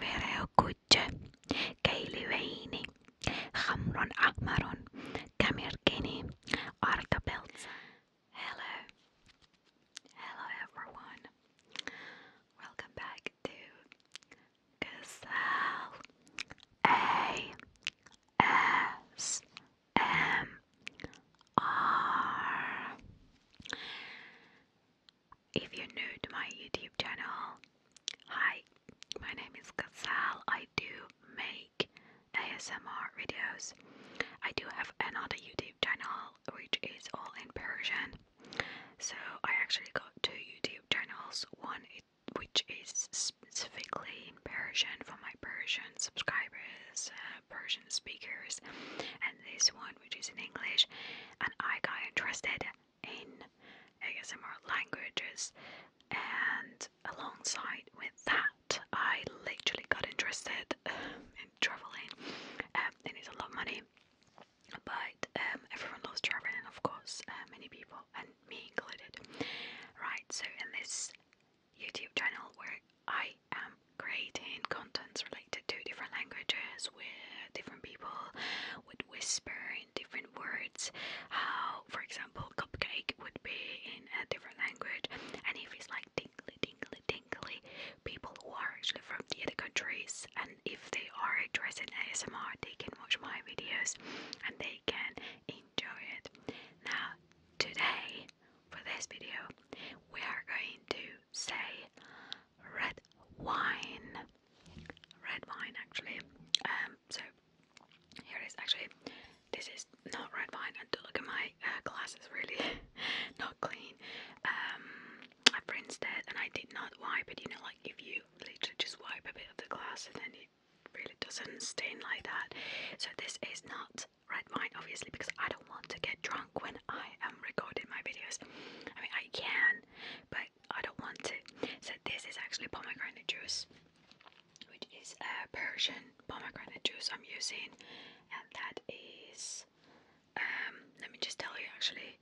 ورق كوجة كيل وعيني خمر أحمر كمركني أرض بلت Hello Hello everyone Welcome back to Gazelle if you're new to my YouTube channel, hi, my name is Gazelle. I do make ASMR videos. I do have another YouTube channel which is all in Persian. So I actually got two YouTube channels. One which is specifically in Persian for my Persian subscribers, uh, Persian speakers, and this one which is in English. And I got interested in ASMR languages, and alongside with that, I literally got interested um, in traveling, um, and it's a lot of money. But um, everyone loves traveling, of course, uh, many people, and me included. Right, so in this YouTube channel where I am creating contents related to different languages with different people, would whisper in different words how, for example, cupcake would be in a different language. And if it's like tingly, tingly, tingly, people who are actually from the other countries, and if they are interested in ASMR, they can watch my videos and they can enjoy it. Now, today, for this video, we are going to say red wine. Red wine, actually. Um, so here it is. Actually, this is not red wine. And look at my uh, really not clean. Um, I rinsed it, and I did not wipe it. You know, like if you literally just wipe a bit of the glass, and then it really doesn't stain like that. So this is not red wine, obviously, because I don't want to get drunk when I am recording my videos. I mean, I can, but I don't want it. So this is actually pomegranate juice, which is a Persian pomegranate juice I'm using, and that is. Um, let me just tell you actually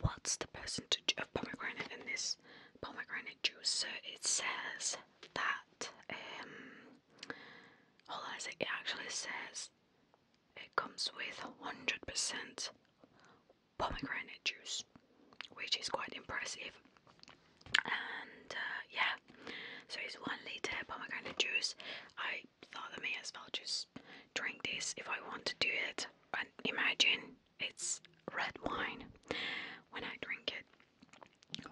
what's the percentage of pomegranate in this pomegranate juice. So it says that um, hold on a sec. It actually says it comes with 100% pomegranate juice, which is quite impressive. And uh, yeah, so it's one liter pomegranate juice. I thought I may as well just drink this if I want to do it. And imagine it's red wine when I drink it.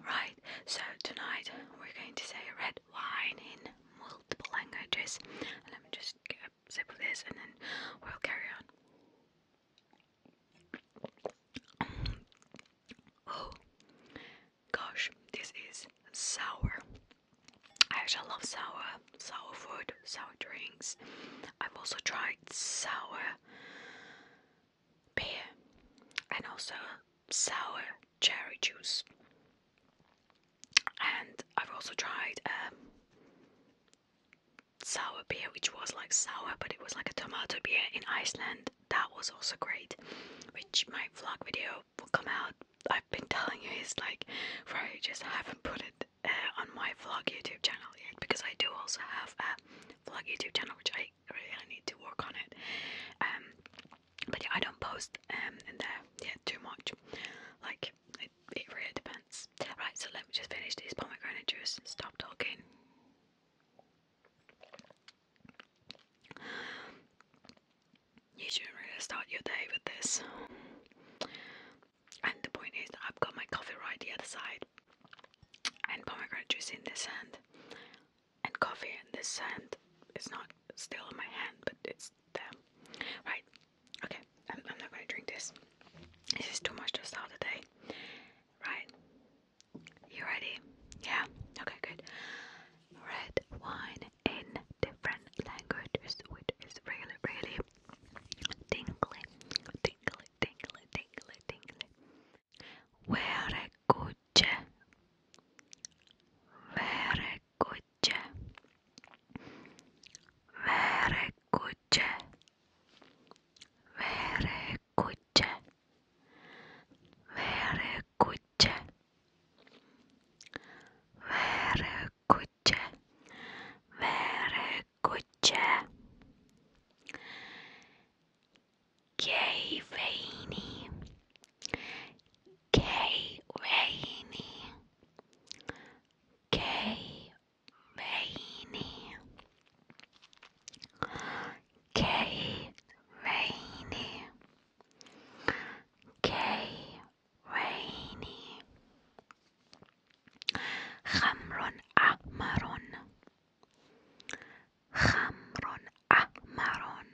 Right, so tonight we're going to say red wine in multiple languages. Let me just a this and then we'll carry on. oh gosh, this is sour. I actually love sour, sour food, sour drinks. I've also tried sour beer and also sour cherry juice and I've also tried um, sour beer, which was like sour, but it was like a tomato beer in Iceland. That was also great. Which my vlog video will come out. I've been telling you it's like for I just haven't put it uh, on my vlog YouTube channel yet because I do also have a vlog YouTube channel, which I really need to work on it. Um, but yeah, I don't post um in there yet too much. Like it, it really depends. Right, so let me just finish this pomegranate juice stop talking. You shouldn't really start your day with this. And the point is I've got my coffee right the other side, and pomegranate juice in this hand, and coffee in this hand. It's not still in my hand, but it's there. Right, okay, I'm, I'm not going to drink this. This is too much to start the day. Right, you ready? Yeah, okay, good. Red wine in different languages, which is really, really tingly, tingly, tingly, tingly, tingly. Very good. Very good kuce Vere kuce Vere kuce Vere kuce Vere kuce Vere kuce Kei veini K Rainy K Rainy K Rainy K Rainy خمر أحمر خمر أحمر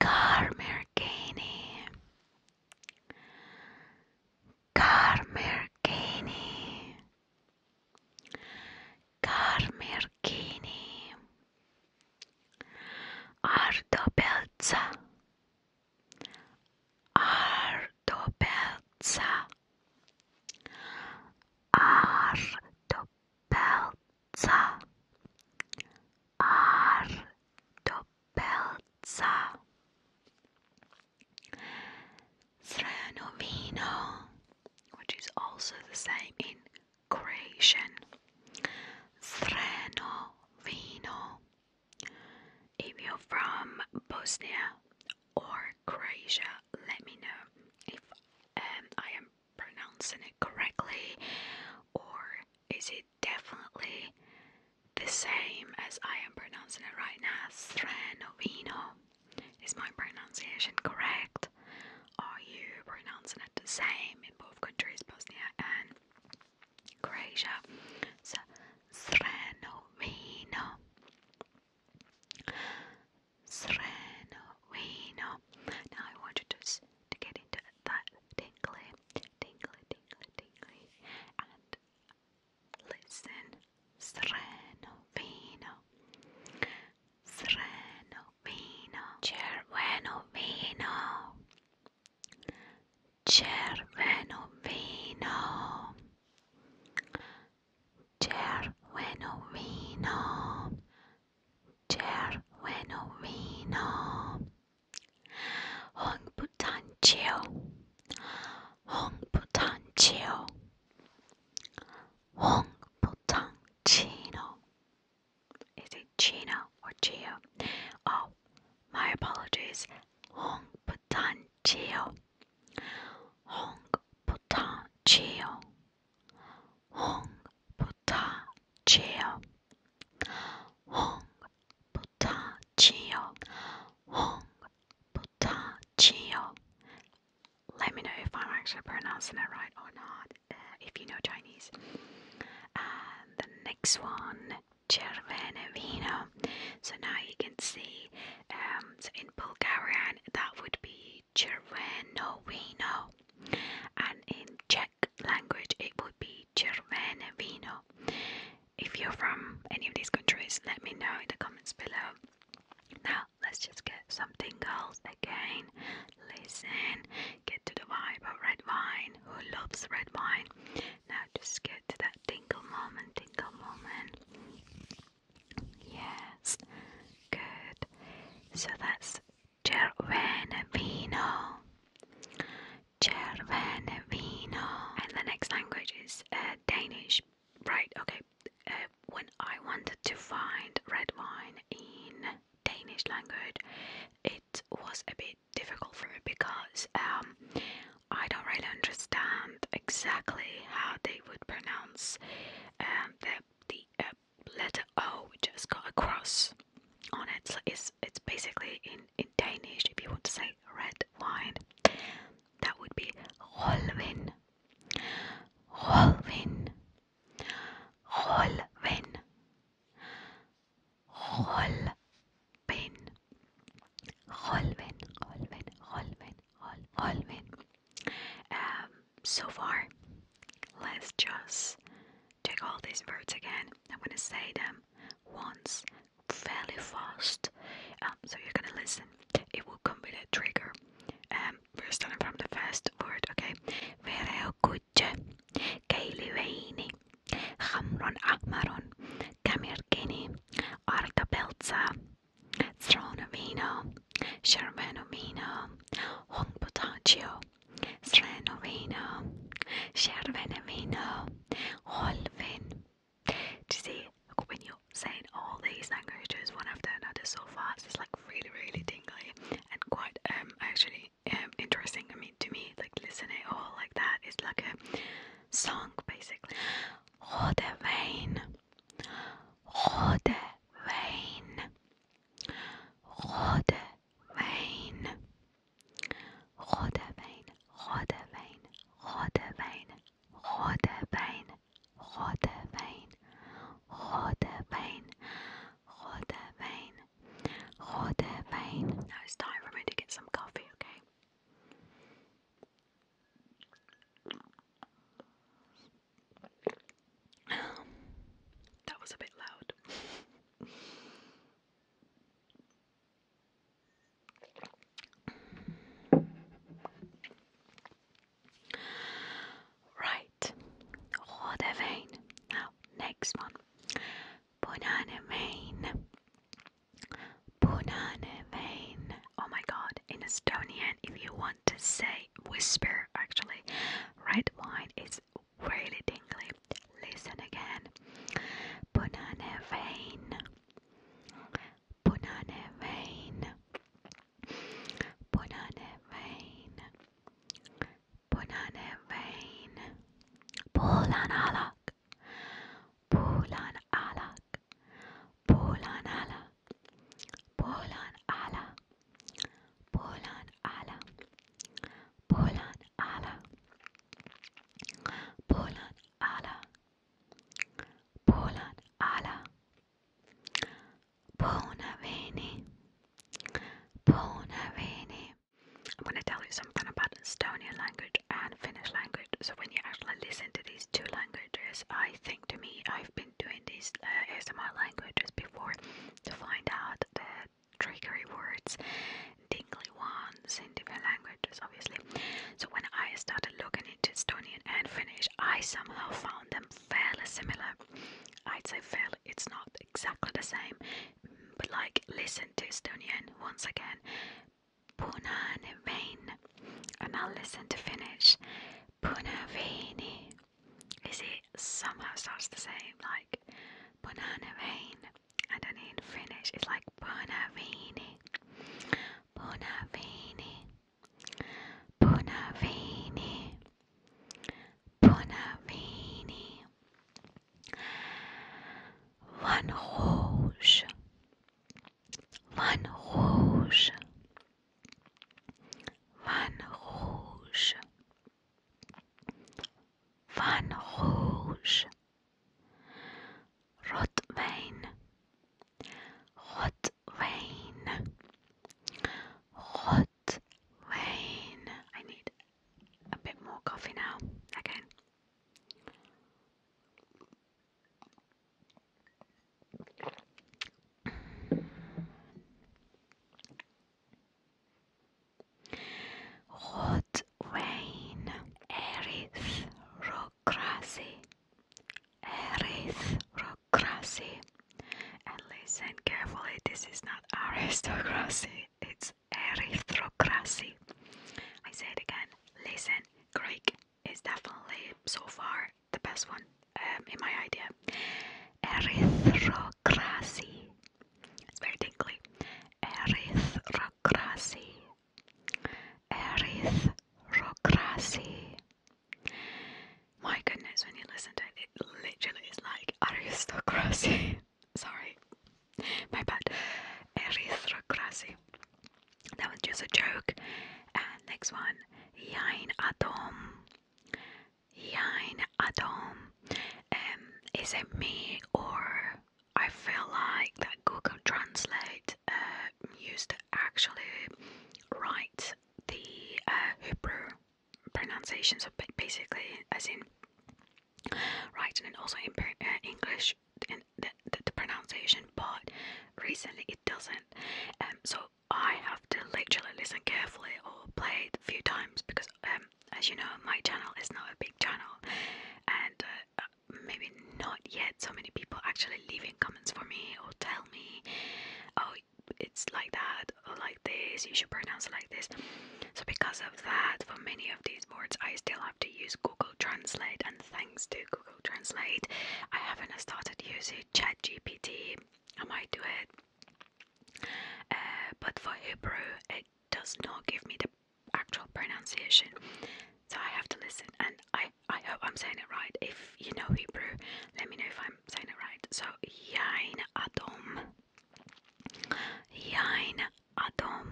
Carmergani, Belza, Carmergani, Belza, Ardobelza, Ardobelza. Doppelza R Doppelza Srenovino which is also the same in Croatian Srenovino if you're from Bosnia or Croatia, let me know if um, I am pronouncing it correctly, or is it definitely the same as I am pronouncing it right now. Stranovino. Is my pronunciation correct? Are you pronouncing it the same in both countries, Bosnia and Croatia? So, Srenovino. Srenovino. Now I want you to to get into that tingly, tingly, tingly, tingly, and listen. Sereno vino, sereno vino, cerveno vino, cerveno vino, cerveno vino, cerveno vino. Hong Hong Chio, Chio, Hong 홍부탄치요 Chino. Is it Chino or Chio? Oh, my apologies. Hong Chio, 홍부탄치요 홍부탄치요 홍 부탁해요. 홍 부탁해요. 홍 부탁해요. Let me know if I'm actually pronouncing it right or not. Uh, if you know Chinese. And the next one, Cervene Vino. So now you can see, um, in Bulgarian that would be Cerveno Vino, and in Czech language, it would be Červené víno. If you're from any of these countries, let me know in the comments below. Now, let's just get something else again. Listen, get to the vibe of red wine. Who loves red wine? Now, just get to that tingle moment, tingle moment. Yes, good. So that's Cervene vino. Cervene vino. And the next language is uh, Danish. Right, okay. Uh, when I wanted to find red wine in Danish language, it was a bit difficult for me because um, I don't really understand exactly how they would pronounce um, the, the uh, letter O We just got a cross on it. So it's it's basically in, in Danish if you want to say red wine. That would be Holvin. Holvin. Holvin. Holvin. Holvin. Holvin. Holvin. Holvin. Um so far let's just Check all these words again. I'm gonna say them once fairly fast, um, so you're gonna listen. It will come with a trigger. we're um, starting from the first word, okay? Vereokuche, Kailiweini, Hamron Ahmaron, Kamirkini, Arta Belza, Stronomino, Shermanomino, Hong Potaccio, Slanovino, Shervenevino, Holvin. Do you see? Look, when you're saying all these languages one after another so fast, it's like really, really tingly and quite um actually um interesting. I mean, to me, like listening all like that is like a song basically. Rode Vein, Rode Vein, Rode وین خود وین خود وین خود وین خود وین خود وین خود وین خود وین خود وین Now it's time for me to get some coffee, okay? Um, that was a bit loud. Right, rode vein. Now, next one. Banane vein. Banane vein. Oh my god, in Estonian, if you want to say whisper, actually, red wine is really tingly. Listen again. Punane vein. Punane vein. Punane vein. Punane vein. Pulan alak. Pulan alak. Pulan alak. Pulan alak. Polan ala, Polan ala, Polan ala, Polan ala, Bona veni, Bona veni. I'm going to tell you something about Estonian language and Finnish language. So when you actually listen to these two languages, I think to me I've been doing these uh, ASMR languages before to find out the triggery words, dingly ones in different languages, obviously. So when I started looking into Estonian and Finnish, I somehow found them fairly similar. I'd say fairly, it's not exactly the same, but like listen to Estonian once again. Punainen vein. And I'll listen to Finnish. Punaveini is it somehow starts the same, like banana rain, and then in Finnish it's like bonavini, bonavini, bonavini, bonavini, van rouge, van rouge. Van Rouge, Van Rouge, Rotwein, Rotwein, Rotwein. I need a bit more coffee now. Again. Hot Wayne Aristocracy Aristocracy and listen carefully this is not aristocracy it's aristocracy I say it again listen Greek is definitely so far the best one um, in my idea aristocracy aristocracy. It's very tingly. Aristocracy. Aristocracy. My goodness, when you listen to it, literally is like aristocracy. Sorry, my bad. Aristocracy. That was just a joke. And next one, Yain Atom. Yain Adam. Um, is it me or I feel like that Google Translate uh, used to actually write the uh, Hebrew pronunciation, so basically, as in writing and also in uh, English in the, the, pronunciation, but recently it doesn't. Um, so I have to literally listen carefully or or played a few times because, um, as you know, my channel is not a big channel, and uh, uh, maybe not yet so many people actually leaving comments for me or tell me, oh, it's like that or like this, you should pronounce it like this. So, because of that, for many of these words, I still have to use Google Translate, and thanks to Google Translate, I haven't started using Chat GPT. I might do it uh, but for Hebrew, it does not give me the actual pronunciation, so I have to listen. And I, I hope I'm saying it right. If you know Hebrew, let me know if I'm saying it right. So, Yain Adom. Yain Adom.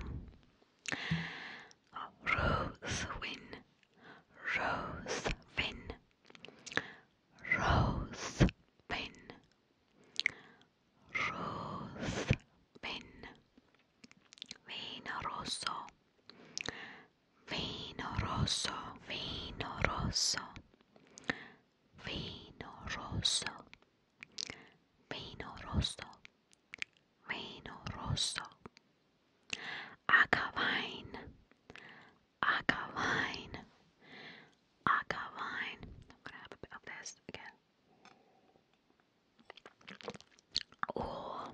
Rosewin. Rosewin. Rosewin. Ruth Vin Vino Rosso Vino Rosso Vino Rosso Vino Rosso Vino Rosso Vino Rosso Aquavine I wine. I wine. I'm gonna have a bit of this again. Oh,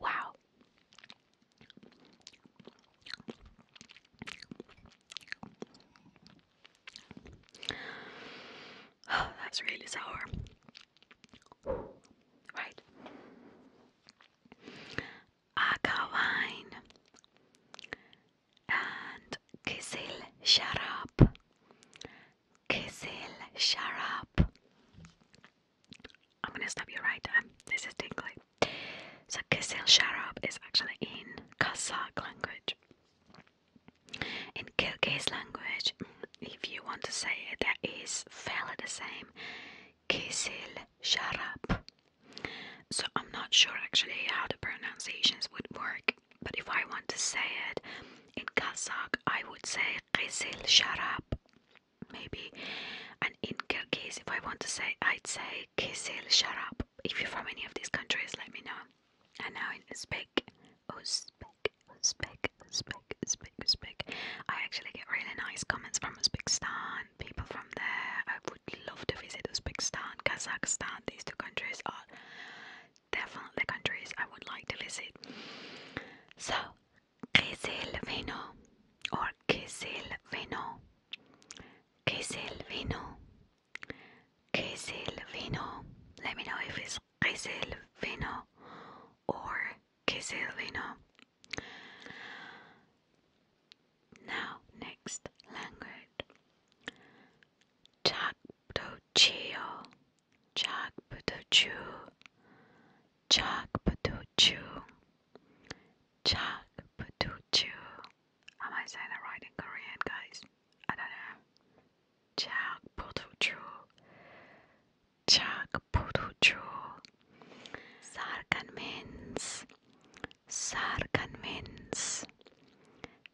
wow. that's really sour. Right. Aga wine and Kizil Sharab. Kizil Sharab. I'm gonna stop you right there. This is tingly. So Kizil Sharab is actually in Kazakh language. In Kyrgyz language, mm, if you want to say it, that is fairly the same. Kizil Sharab. So I'm not sure actually how the pronunciations would work, but if I want to say it in Kazakh, I would say Qizil Sharab, maybe. And in Kyrgyz, if I want to say, I'd say Qizil Sharab. If you're from any of these countries, let me know. And now in Uzbek, Uzbek, Uzbek, Uzbek, Uzbek, Uzbek. I actually get really nice comments from Uzbekistan people from there. I would love to visit Uzbekistan, Kazakhstan. These two countries are definitely countries I would like to visit. So, Kizilvino or Kizilvino, Kizilvino, Kizilvino. Let me know if it's Kizilvino or Kizilvino. Now, next language. Chakputochio, Chakputochu, Chakputochu, Chakputochu. Am I saying that right in Korean, guys? I don't know. Chakputochu, Chakputochu. Sarkan means Sar convince.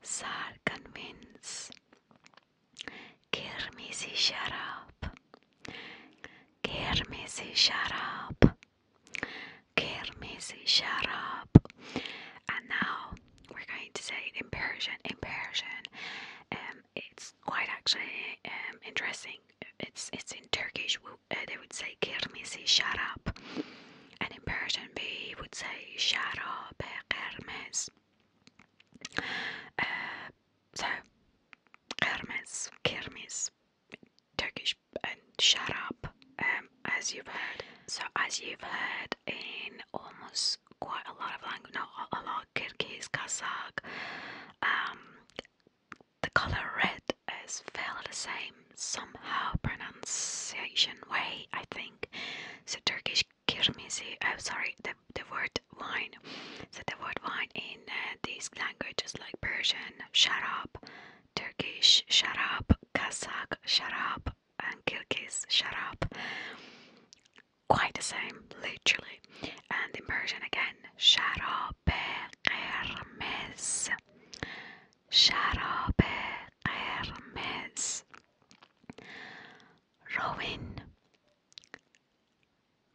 Sar convince. Kirmizi şarap. Kirmizi şarap. Kirmizi şarap. And now we're going to say in Persian. In Persian, um, it's quite actually um, interesting. It's it's in Turkish uh, they would say kermesi, shut And in Persian, we would say sharab eh, kermes. Uh, so, kermes, kermes, Turkish, and sharab, um, as you've heard. So, as you've heard in almost quite a lot of languages, a lot, Kyrgyz, Kazakh, um, the color red is fairly the same somehow pronunciation way, I think. So Turkish kirmizi, am oh, sorry, the, the word wine. So the word wine in uh, these languages like Persian, sharab, Turkish sharab, Kazakh sharab, and Kyrgyz sharab. Quite the same, literally. And in Persian again, sharabe kermes. شراب قرمز روین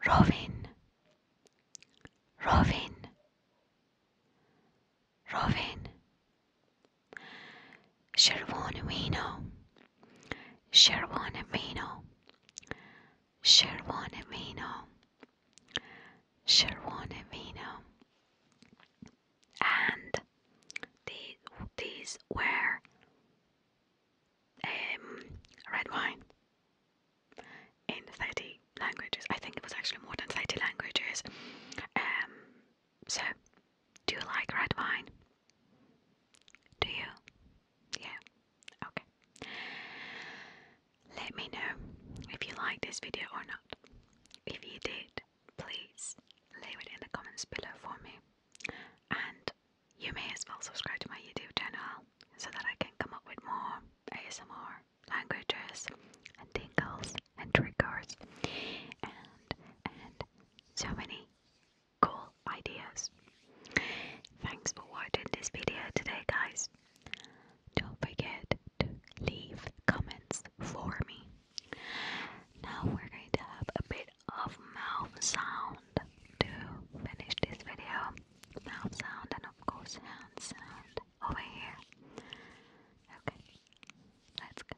روین روین روین شروان وینو شروان وینو شروان وینو Sherwane Vino, and the, these were um, red wine in 30 languages. I think it was actually more than 30 languages. Um, so, do you like red wine? Do you? Yeah. Okay. Let me know if you liked this video or not. If you did, please leave it in the comments below for me. And you may as well subscribe to my YouTube channel so that I can come up with more ASMR languages and tingles and triggers and and so many cool ideas. Thanks for watching this video today guys. Don't forget to leave comments for me. Now we're going to have a bit of mouth sound to finish this video. Mouth sound and of course hand sound over here. Okay, let's go.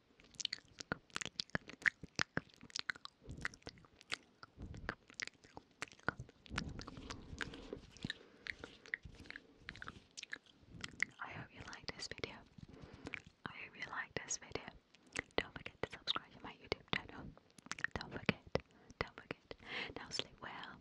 I hope you liked this video. I hope you liked this video. Don't forget to subscribe to my YouTube channel. Don't forget. Don't forget. Now sleep well.